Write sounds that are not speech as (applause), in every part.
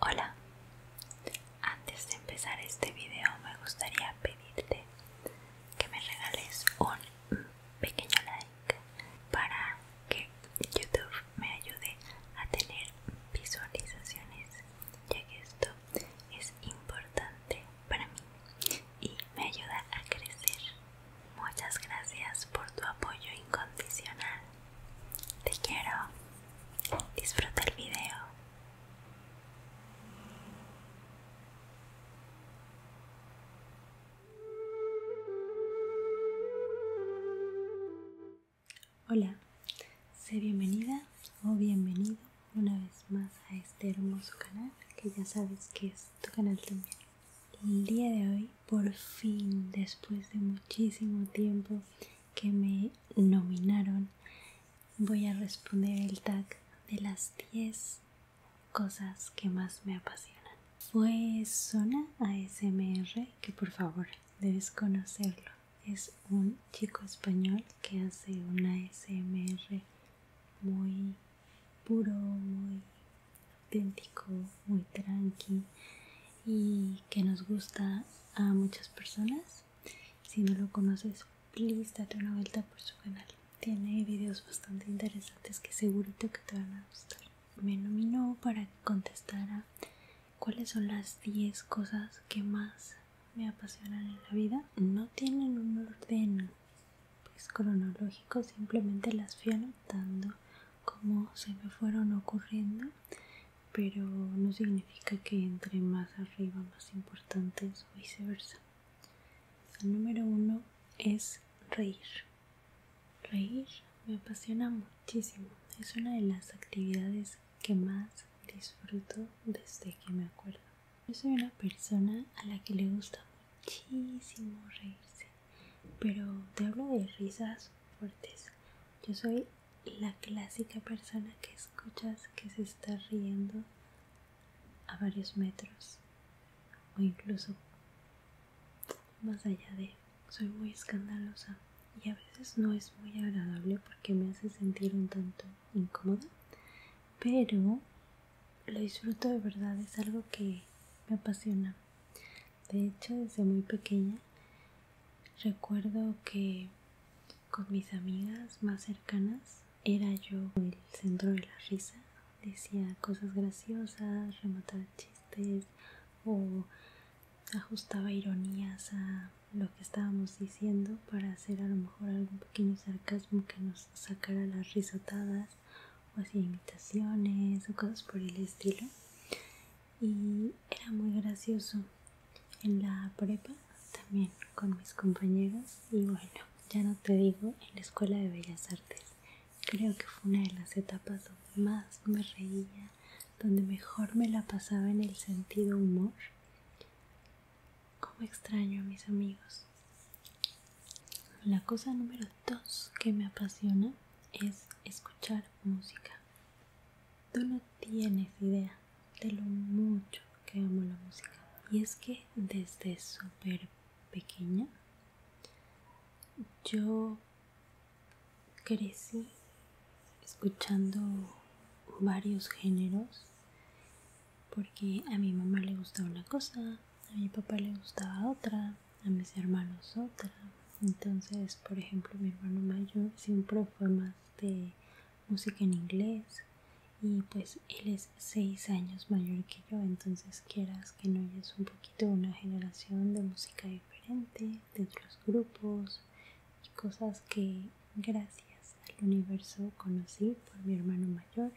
Hola, antes de empezar este video me gustaría pedirte que me regales un pequeño like para que YouTube me ayude a tener visualizaciones, ya que esto es importante para mí y me ayuda a crecer. Muchas gracias por tu apoyo incondicional. Te quiero. Disfruta el video. Hola, sé bienvenida o bienvenido una vez más a este hermoso canal que ya sabes que es tu canal también. El día de hoy por fin, después de muchísimo tiempo que me nominaron, voy a responder el tag de las 10 cosas que más me apasionan. Fue pues Zona ASMR, que por favor debes conocerlo. Es un chico español que hace una ASMR muy puro, muy auténtico, muy tranqui y que nos gusta a muchas personas. Si no lo conoces, please una vuelta por su canal. Tiene videos bastante interesantes que segurito que te van a gustar. Me nominó para contestar contestara cuáles son las 10 cosas que más me apasionan en la vida. No tienen un orden pues, cronológico, simplemente las fui anotando como se me fueron ocurriendo pero no significa que entre más arriba más importantes o viceversa. El número uno es reír. Reír me apasiona muchísimo. Es una de las actividades que más disfruto desde que me acuerdo. Yo soy una persona a la que le gusta muchísimo reírse pero te hablo de risas fuertes. Yo soy la clásica persona que escuchas que se está riendo a varios metros o incluso más allá de soy muy escandalosa y a veces no es muy agradable porque me hace sentir un tanto incómoda pero lo disfruto de verdad es algo que me apasiona de hecho, desde muy pequeña recuerdo que con mis amigas más cercanas era yo el centro de la risa. Decía cosas graciosas, remataba chistes o ajustaba ironías a lo que estábamos diciendo para hacer a lo mejor algún pequeño sarcasmo que nos sacara las risotadas o hacía imitaciones o cosas por el estilo y era muy gracioso en la prepa también con mis compañeros y bueno ya no te digo en la escuela de bellas artes creo que fue una de las etapas donde más me reía donde mejor me la pasaba en el sentido humor como extraño a mis amigos la cosa número dos que me apasiona es escuchar música. Tú no tienes idea de lo mucho que amo la música. Y es que desde súper pequeña yo crecí escuchando varios géneros porque a mi mamá le gustaba una cosa, a mi papá le gustaba otra, a mis hermanos otra. Entonces, por ejemplo, mi hermano mayor siempre fue más de música en inglés y pues él es seis años mayor que yo, entonces quieras que no, hayas un poquito una generación de música diferente, de otros grupos y cosas que gracias al universo conocí por mi hermano mayor.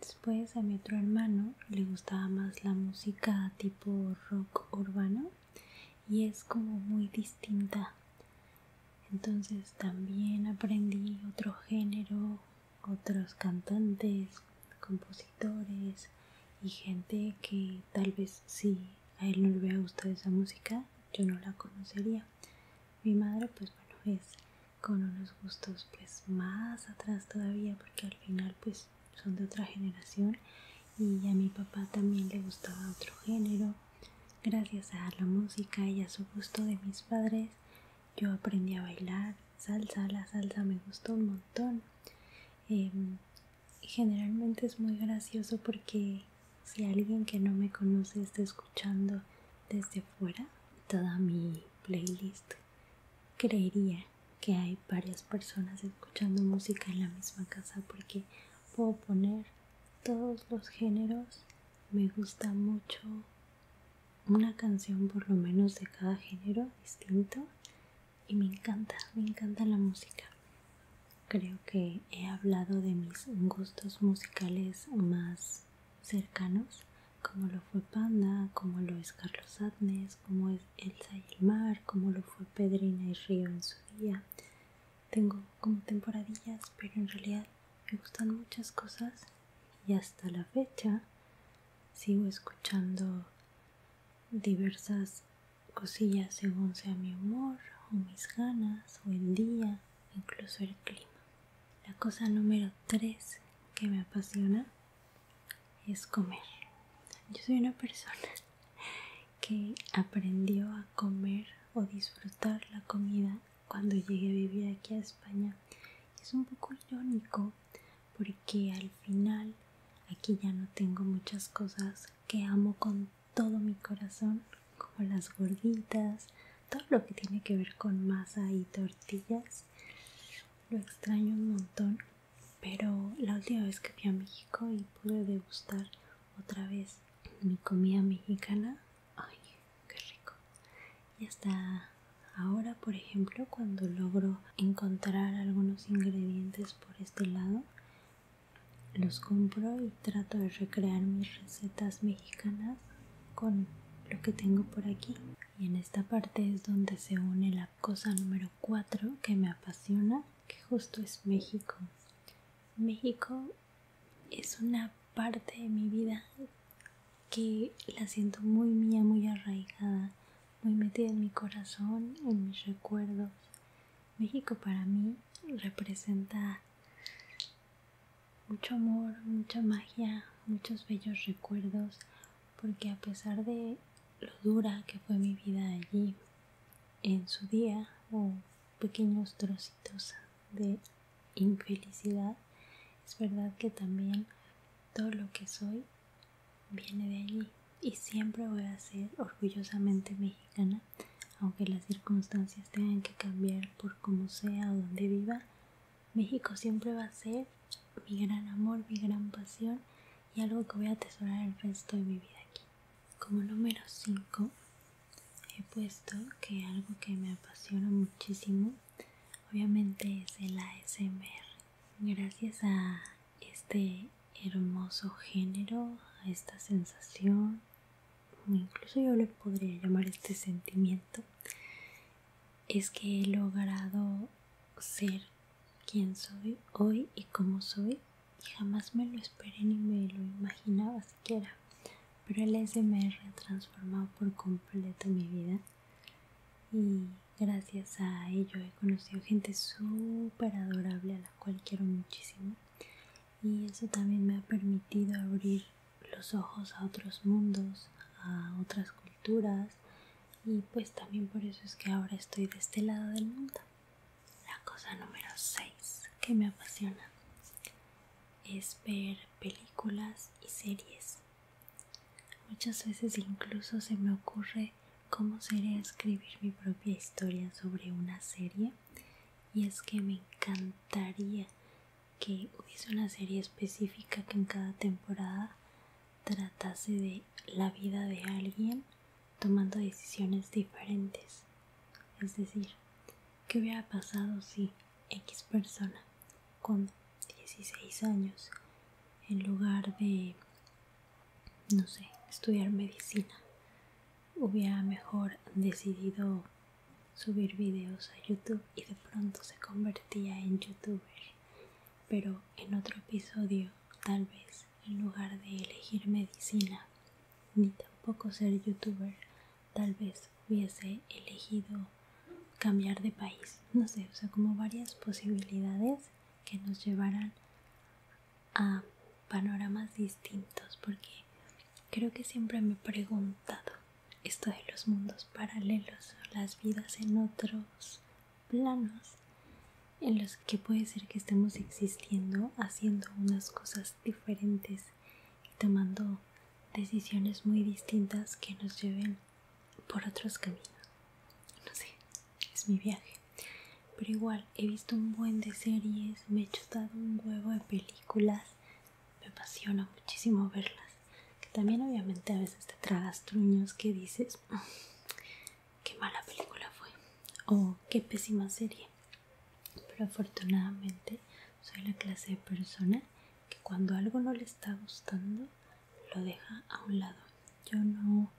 Después a mi otro hermano le gustaba más la música tipo rock urbano y es como muy distinta entonces también aprendí otro género otros cantantes compositores y gente que tal vez si a él no le hubiera gustado esa música yo no la conocería mi madre pues bueno es con unos gustos pues más atrás todavía porque al final pues pues, son de otra generación y a mi papá también le gustaba otro género. Gracias a la música y a su gusto de mis padres, yo aprendí a bailar salsa. La salsa me gustó un montón. Em, generalmente es muy gracioso porque si alguien que no me conoce está escuchando desde fuera, toda mi playlist creería que hay varias personas escuchando música en la misma casa porque puedo poner todos los géneros. Me gusta mucho una canción por lo menos de cada género distinto y me encanta, me encanta la música. Creo que he hablado de mis gustos musicales más cercanos como lo fue Panda, como lo es Carlos Adnes, como es Elsa y el Mar, como lo fue Pedrina y Río en su día. Tengo como temporadillas, pero en realidad me gustan muchas cosas y hasta la fecha sigo escuchando diversas cosillas según sea mi humor o mis ganas o el día, incluso el clima. La cosa número 3 que me apasiona es comer. Yo soy una persona (laughs) que aprendió a comer o disfrutar la comida cuando llegué a vivir aquí a España. Es un poco irónico porque al final aquí ya no tengo muchas cosas que amo con todo mi corazón, como las gorditas, todo lo que tiene que ver con masa y tortillas. Lo extraño un montón, pero la última vez que fui a México y pude degustar otra vez mi comida mexicana, ay, qué rico. Y hasta ahora, por ejemplo, cuando logro encontrar algunos ingredientes por este lado, los compro y trato de recrear mis recetas mexicanas con lo que tengo por aquí y en esta parte es donde se une la cosa número 4 que me apasiona que justo es México México es una parte de mi vida que la siento muy mía muy arraigada muy metida en mi corazón en mis recuerdos México para mí representa mucho amor, mucha magia, muchos bellos recuerdos, porque a pesar de lo dura que fue mi vida allí en su día o pequeños trocitos de infelicidad, es verdad que también todo lo que soy viene de allí y siempre voy a ser orgullosamente mexicana, aunque las circunstancias tengan que cambiar por como sea o donde viva, México siempre va a ser mi gran amor, mi gran pasión y algo que voy a atesorar el resto de mi vida aquí. Como número 5 he puesto que algo que me apasiona muchísimo obviamente es el ASMR. Gracias a este hermoso género, a esta sensación, incluso yo le podría llamar este sentimiento, es que he logrado ser quien soy hoy y como soy y jamás me lo esperé ni me lo imaginaba siquiera pero el SMR ha transformado por completo mi vida y gracias a ello he conocido gente súper adorable a la cual quiero muchísimo y eso también me ha permitido abrir los ojos a otros mundos, a otras culturas y pues también por eso es que ahora estoy de este lado del mundo. La cosa número 6 que me apasiona es ver películas y series. Muchas veces incluso se me ocurre cómo sería escribir mi propia historia sobre una serie y es que me encantaría que hubiese una serie específica que en cada temporada tratase de la vida de alguien tomando decisiones diferentes. Es decir, ¿qué hubiera pasado si X persona con 16 años, en lugar de, no sé, estudiar medicina, hubiera mejor decidido subir videos a YouTube y de pronto se convertía en youtuber. Pero en otro episodio, tal vez, en lugar de elegir medicina, ni tampoco ser youtuber, tal vez hubiese elegido cambiar de país. No sé, o sea, como varias posibilidades que nos llevarán a panoramas distintos, porque creo que siempre me he preguntado esto de los mundos paralelos las vidas en otros planos en los que puede ser que estemos existiendo haciendo unas cosas diferentes y tomando decisiones muy distintas que nos lleven por otros caminos. No sé, es mi viaje. Pero igual, he visto un buen de series, me he chutado un huevo de películas, me apasiona muchísimo verlas. Que También obviamente a veces te tragas truños que dices, ah, qué mala película fue o qué pésima serie. Pero afortunadamente soy la clase de persona que cuando algo no le está gustando lo deja a un lado. Yo no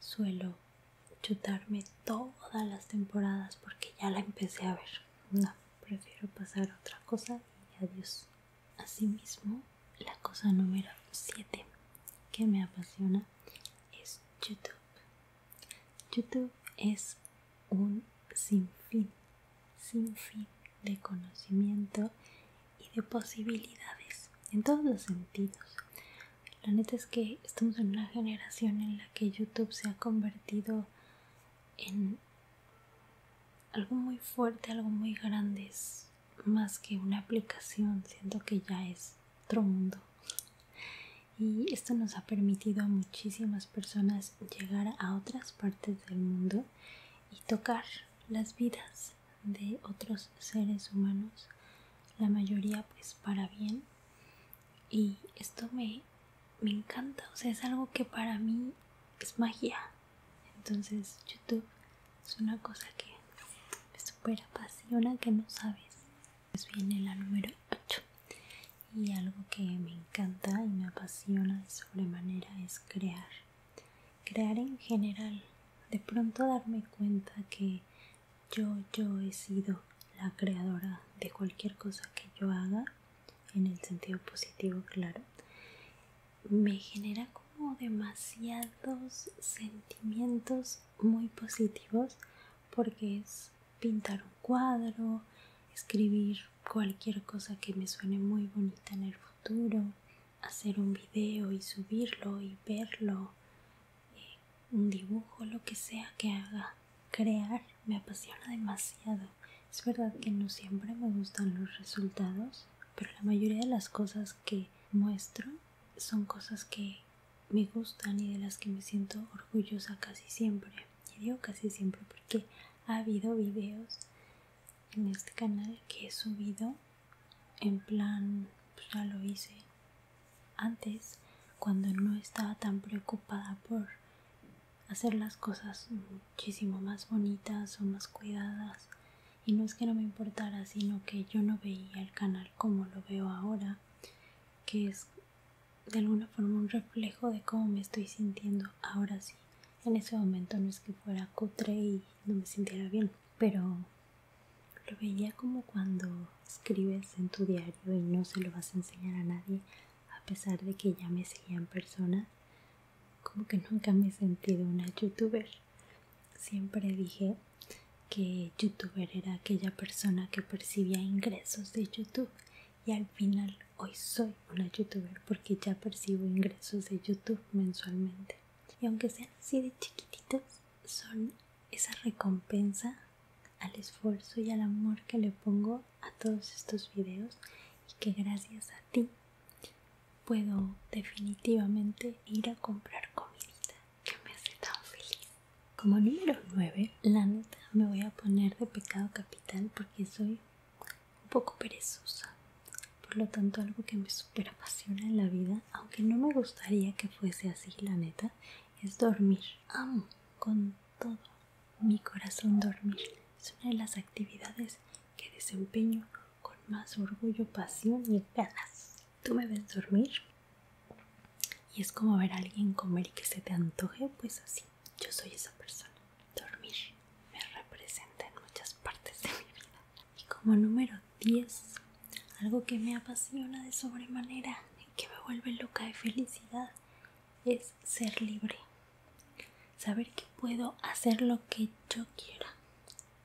suelo chutarme todas las temporadas porque ya la empecé a ver. No, prefiero pasar a otra cosa y adiós. Asimismo, la cosa número 7 que me apasiona es YouTube. YouTube es un sinfín, sinfín de conocimiento y de posibilidades en todos los sentidos. La neta es que estamos en una generación en la que YouTube se ha convertido en algo muy fuerte, algo muy grande es más que una aplicación, siento que ya es otro mundo. Y esto nos ha permitido a muchísimas personas llegar a otras partes del mundo y tocar las vidas de otros seres humanos, la mayoría pues para bien. Y esto me me encanta, o sea, es algo que para mí es magia. Entonces YouTube es una cosa que me super apasiona, que no sabes. Pues viene la número 8. Y algo que me encanta y me apasiona de sobremanera es crear. Crear en general. De pronto darme cuenta que yo, yo he sido la creadora de cualquier cosa que yo haga en el sentido positivo, claro, me genera como demasiados sentimientos muy positivos porque es pintar un cuadro, escribir cualquier cosa que me suene muy bonita en el futuro, hacer un video y subirlo y verlo, eh, un dibujo, lo que sea que haga crear me apasiona demasiado. Es verdad que no siempre me gustan los resultados, pero la mayoría de las cosas que muestro son cosas que me gustan y de las que me siento orgullosa casi siempre. Y digo casi siempre porque ha habido videos en este canal que he subido en plan, pues, ya lo hice antes, cuando no estaba tan preocupada por hacer las cosas muchísimo más bonitas o más cuidadas y no es que no me importara sino que yo no veía el canal como lo veo ahora que es de alguna forma un reflejo de cómo me estoy sintiendo ahora sí en ese momento no es que fuera cutre y no me sintiera bien pero lo veía como cuando escribes en tu diario y no se lo vas a enseñar a nadie a pesar de que ya me seguían personas, como que nunca me he sentido una youtuber. Siempre dije que youtuber era aquella persona que percibía ingresos de YouTube y al final hoy soy una youtuber porque ya percibo ingresos de YouTube mensualmente. Y aunque sean así de chiquititos, son esa recompensa al esfuerzo y al amor que le pongo a todos estos videos y que gracias a ti puedo definitivamente ir a comprar comida que me hace tan feliz. Como número 9, la neta me voy a poner de pecado capital porque soy un poco perezosa. Por lo tanto, algo que me super apasiona en la vida, aunque no me gustaría que fuese así, la neta, es dormir. Amo con todo mi corazón dormir es una de las actividades que desempeño con más orgullo, pasión y ganas. ¿Tú me ves dormir? Y es como ver a alguien comer y que se te antoje, pues así. Yo soy esa persona. Dormir me representa en muchas partes de mi vida. Y como número 10, algo que me apasiona de sobremanera y que me vuelve loca de felicidad es ser libre, saber que puedo hacer lo que yo quiera,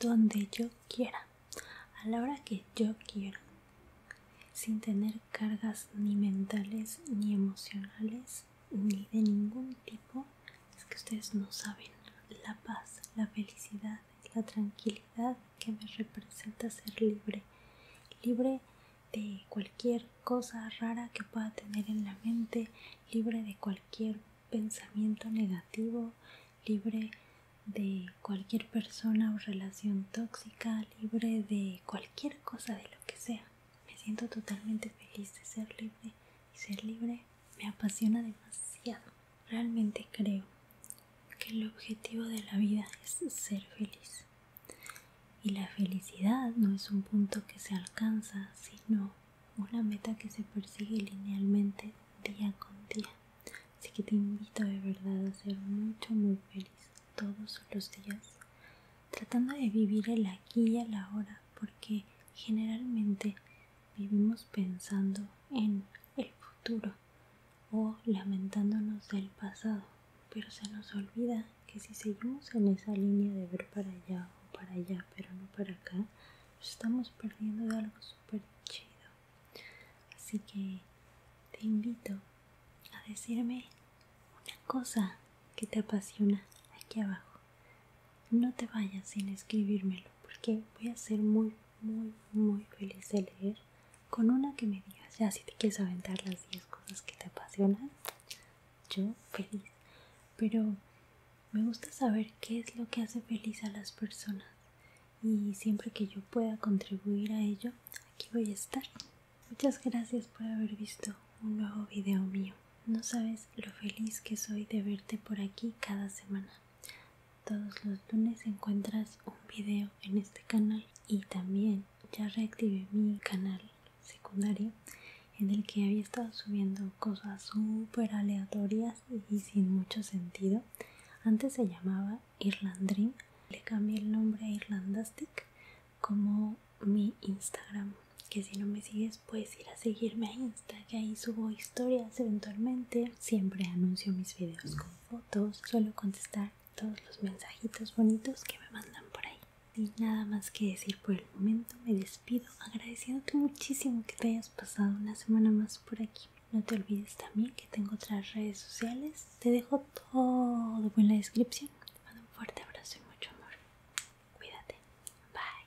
donde yo quiera, a la hora que yo quiera, sin tener cargas ni mentales, ni emocionales, ni de ningún tipo. Es que ustedes no saben la paz, la felicidad, la tranquilidad que me representa ser libre, libre de cualquier cosa rara que pueda tener en la mente, libre de cualquier pensamiento negativo, libre de cualquier persona o relación tóxica, libre de cualquier cosa de lo que sea. Me siento totalmente feliz de ser libre y ser libre me apasiona demasiado. Realmente creo que el objetivo de la vida es ser feliz. Y la felicidad no es un punto que se alcanza, sino una meta que se persigue linealmente día con día. Así que te invito de verdad a ser mucho, muy feliz todos los días, tratando de vivir el aquí y el ahora, porque generalmente vivimos pensando en el futuro o lamentándonos del pasado pero se nos olvida que si seguimos en esa línea de ver para allá o para allá, pero no para acá, estamos perdiendo de algo súper chido. Así que te invito a decirme una cosa que te apasiona aquí abajo. No te vayas sin escribírmelo, porque voy a ser muy, muy, muy feliz de leer con una que me digas, ya si te quieres aventar las 10 cosas que te apasionan, yo feliz. Pero me gusta saber qué es lo que hace feliz a las personas y siempre que yo pueda contribuir a ello, aquí voy a estar. Muchas gracias por haber visto un nuevo video mío. No sabes lo feliz que soy de verte por aquí cada semana. Todos los lunes encuentras un video en este canal y también ya reactivé mi canal secundario en el que había estado subiendo cosas súper aleatorias y sin mucho sentido. Antes se llamaba Irlandream, le cambié el nombre a Irlandastic como mi Instagram. Que si no me sigues, puedes ir a seguirme a Insta, que ahí subo historias eventualmente. Siempre anuncio mis videos con fotos, suelo contestar todos los mensajitos bonitos que me mandan por ahí. Y nada más que decir por el momento, me despido agradeciéndote muchísimo que te hayas pasado una semana más por aquí. No te olvides también que tengo otras redes sociales. Te dejo todo en la descripción. Te mando un fuerte abrazo y mucho amor. Cuídate. Bye.